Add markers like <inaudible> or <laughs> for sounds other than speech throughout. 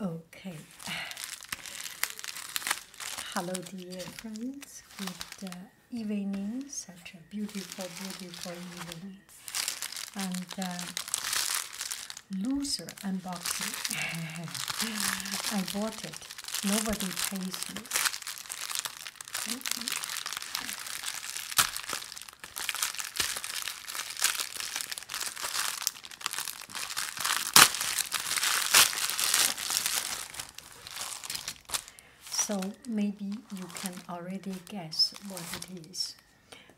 Okay. Hello, dear friends. Good uh, evening. Such a beautiful, beautiful evening. And uh, loser unboxing. <laughs> I bought it. Nobody pays me. So maybe you can already guess what it is.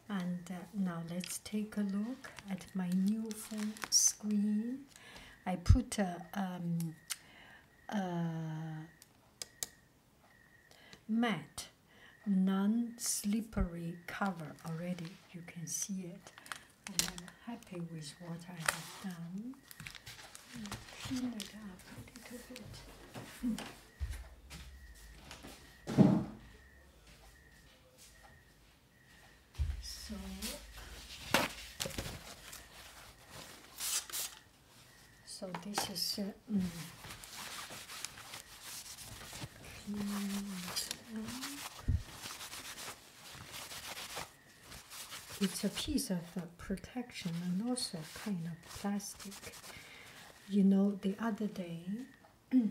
And uh, now let's take a look at my new screen. I put a uh, um, uh, mat non-slippery cover already. You can see it. And I'm happy with what I have done. So so this is uh, mm. It's a piece of uh, protection and also kind of plastic. You know, the other day, <clears throat> the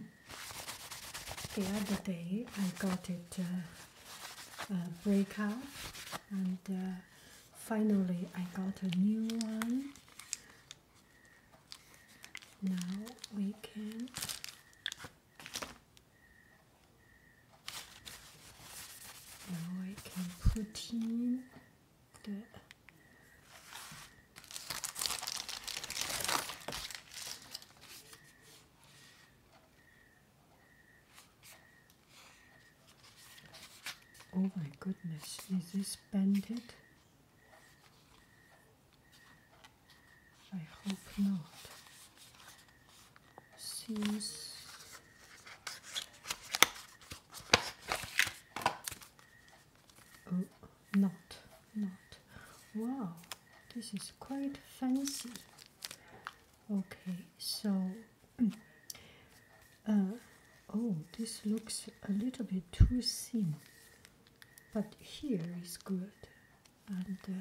other day I got it uh, uh, breakout, and uh, finally I got a new one. Now we can now I can put in the Oh my goodness, is this banded? I hope not. Seems oh, not, not. Wow, this is quite fancy. Okay, so <clears throat> uh, oh, this looks a little bit too thin but here is good, and uh,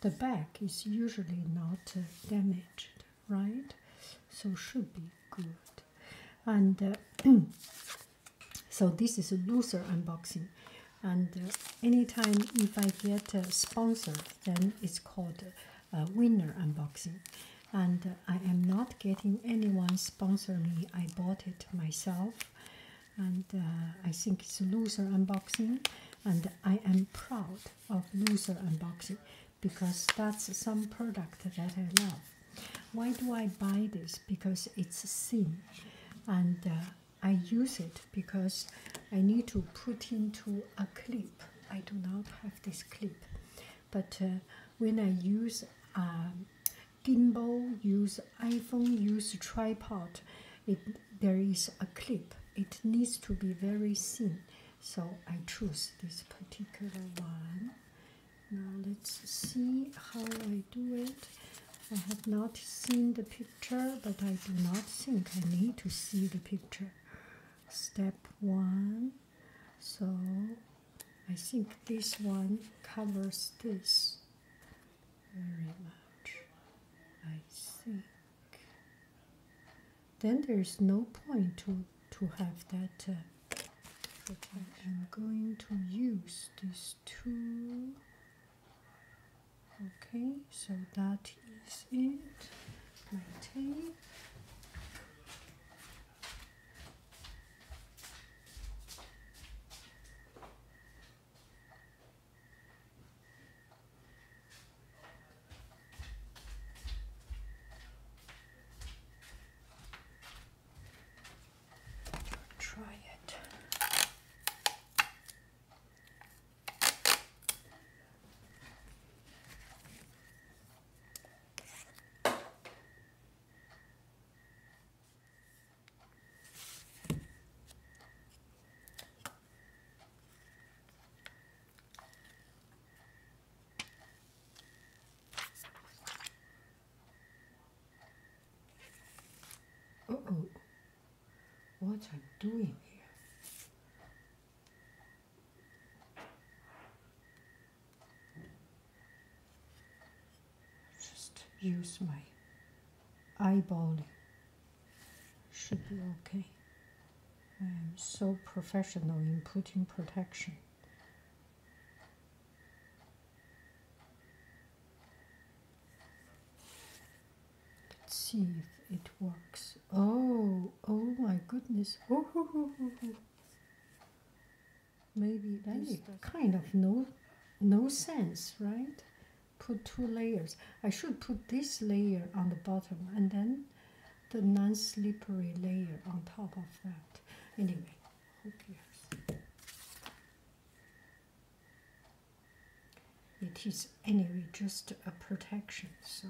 the back is usually not uh, damaged, right? So should be good, and uh, <clears throat> so this is a looser unboxing, and uh, anytime if I get a sponsor, then it's called a winner unboxing, and I am not getting anyone sponsor me. I bought it myself, and uh, I think it's loser unboxing, and I am proud of loser unboxing because that's some product that I love. Why do I buy this? Because it's thin, and uh, I use it because I need to put into a clip. I do not have this clip, but uh, when I use. Um, gimbal, use iPhone, use tripod. It, there is a clip. It needs to be very thin. So I choose this particular one. Now let's see how I do it. I have not seen the picture, but I do not think I need to see the picture. Step one. So I think this one covers this very much. I think. Then there's no point to to have that. Uh, okay. I'm going to use these two. Okay, so that is it. My tape. Try it oh, what are you doing here? Just use my eyeball. Should be okay. I am so professional in putting protection. Let's see if it works. Oh, oh my goodness. Oh, maybe like kind of no no sense right put two layers i should put this layer on the bottom and then the non-slippery layer on top of that anyway who cares it is anyway just a protection so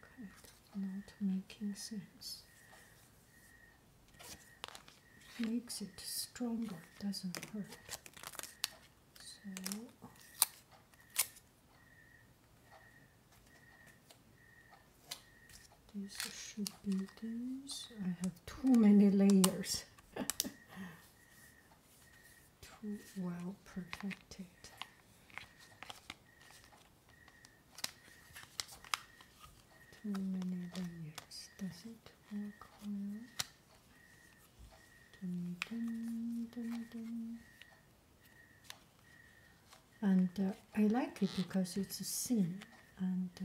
Correct, not making sense. Makes it stronger, doesn't hurt. So these should be these. I have too many layers. Too well protected. Too many layers. Does it work well? And uh, I like it because it's a scene and uh,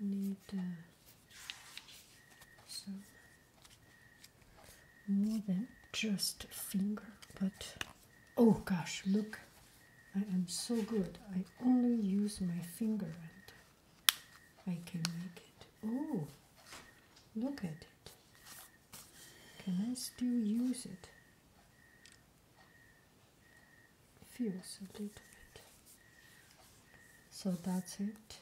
need uh, so more than just finger but oh gosh look i am so good i only use my finger and i can make it oh look at can I still use it? Feels a little bit. So that's it.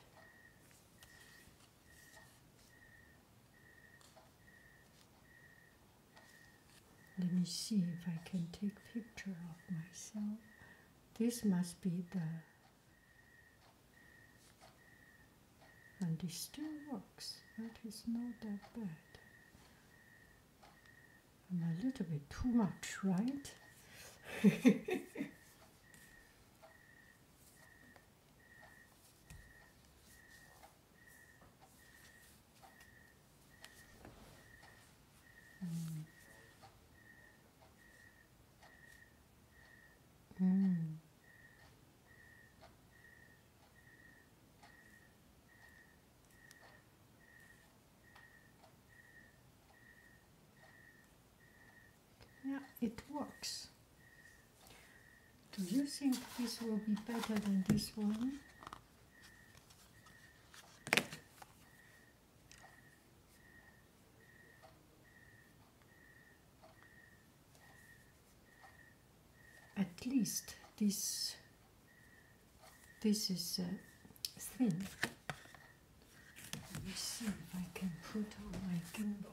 Let me see if I can take picture of myself. This must be the and it still works. That is not that bad. I'm a little bit too much, right? <laughs> mm. Mm. Yeah, it works. Do you think this will be better than this one? at least this this is uh, thin. Let me see if I can put on my gimbal.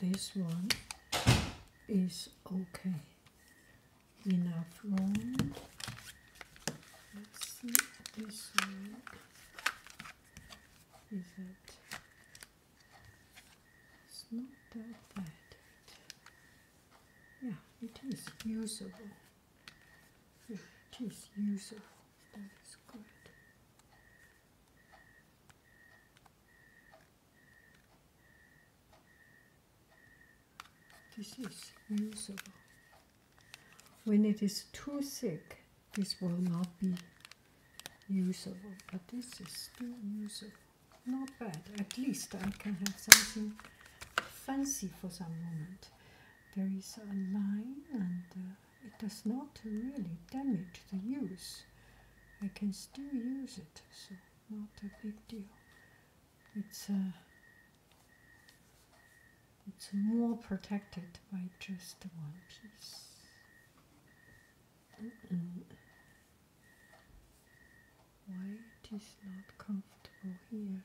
this one is okay enough room let's see this one is it it's not that bad yeah it is usable it is usable that is good this is usable. When it is too thick, this will not be usable, but this is still usable. Not bad. At least I can have something fancy for some moment. There is a line and. Uh, it does not really damage the use. I can still use it, so not a big deal. It's uh, it's more protected by just one piece. Why it is not comfortable here?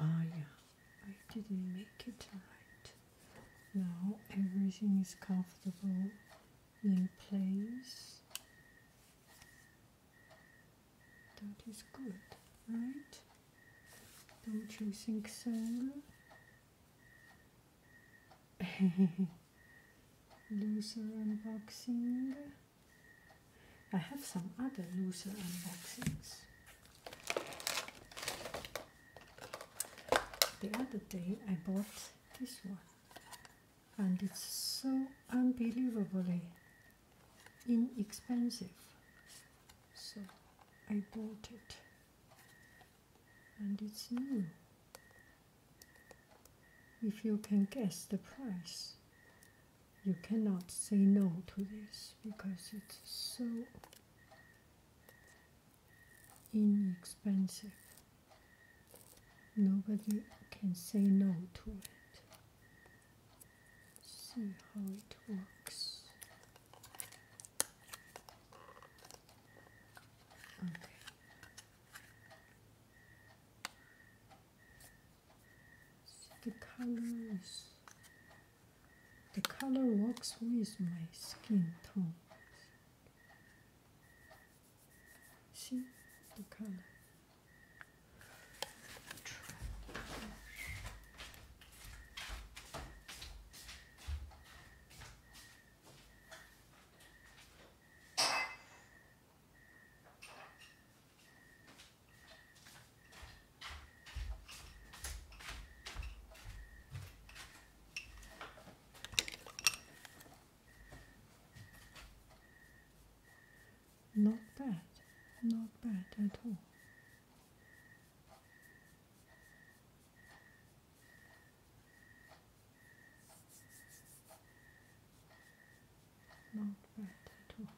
Ah, yeah, I didn't make it right. Now everything is comfortable in place. That is good, right? Don't you think so? <laughs> loser unboxing. I have some other loser unboxings. The other day I bought this one and it's so unbelievably inexpensive. So I bought it and it's new. If you can guess the price, you cannot say no to this because it's so inexpensive. Nobody can say no to it. See how it works. Okay. So the colors. The color works with my skin tone. See the color. Not bad, not bad at all. Not bad at all.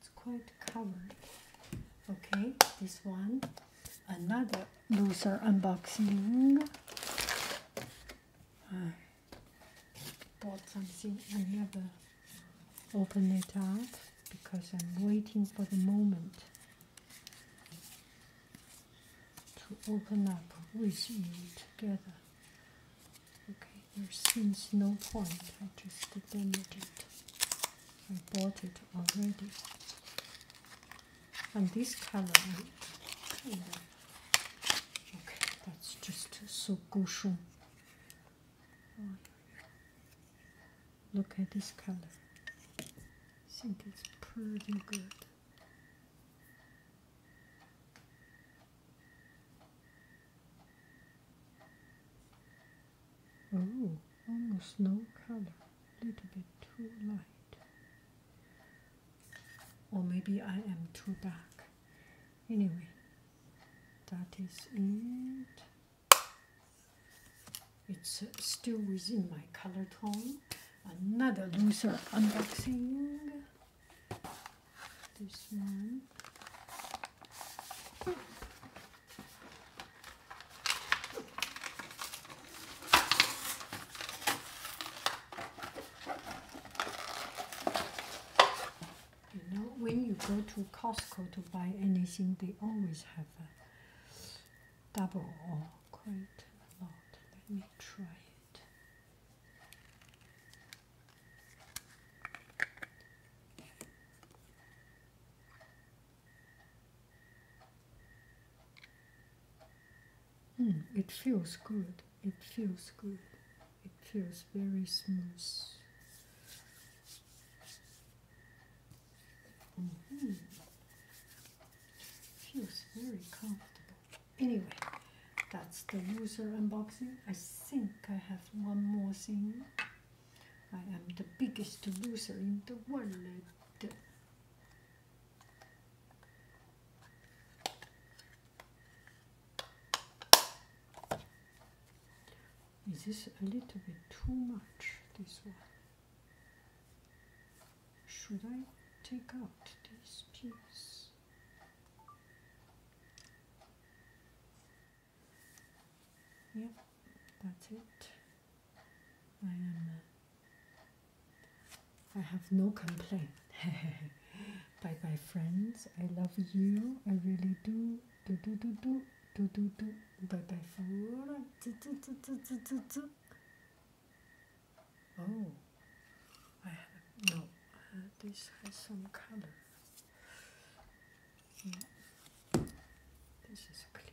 It's quite covered. Okay, this one, another loser unboxing. Uh, bought something. I never open it up because I'm waiting for the moment to open up with you together. Okay, there seems no point. I just damaged it. I bought it already. And this color, okay, that's just so gushun. Oh. look at this color. I think it's pretty good. Oh, almost no color. A little bit too light. Or maybe I am too dark. Anyway, that is it. It's still within my color tone. Another loser unboxing. This one. You know, when you go to Costco to buy anything, they always have a double or quite a lot. Let me try it. Mm, it feels good. It feels good. It feels very smooth. Mm-hmm. Feels very comfortable. Anyway, that's the loser unboxing. I think I have one more thing. I am the biggest loser in the world. Is this a little bit too much, this one? Should I take out this piece? Yep, yeah, that's it. I am uh, I have no complaint. <laughs> bye bye, friends. I love you. I really do. Do do do do do do do. Bye bye, for Oh, I have no. Uh, this has some color. Mm. This is clean.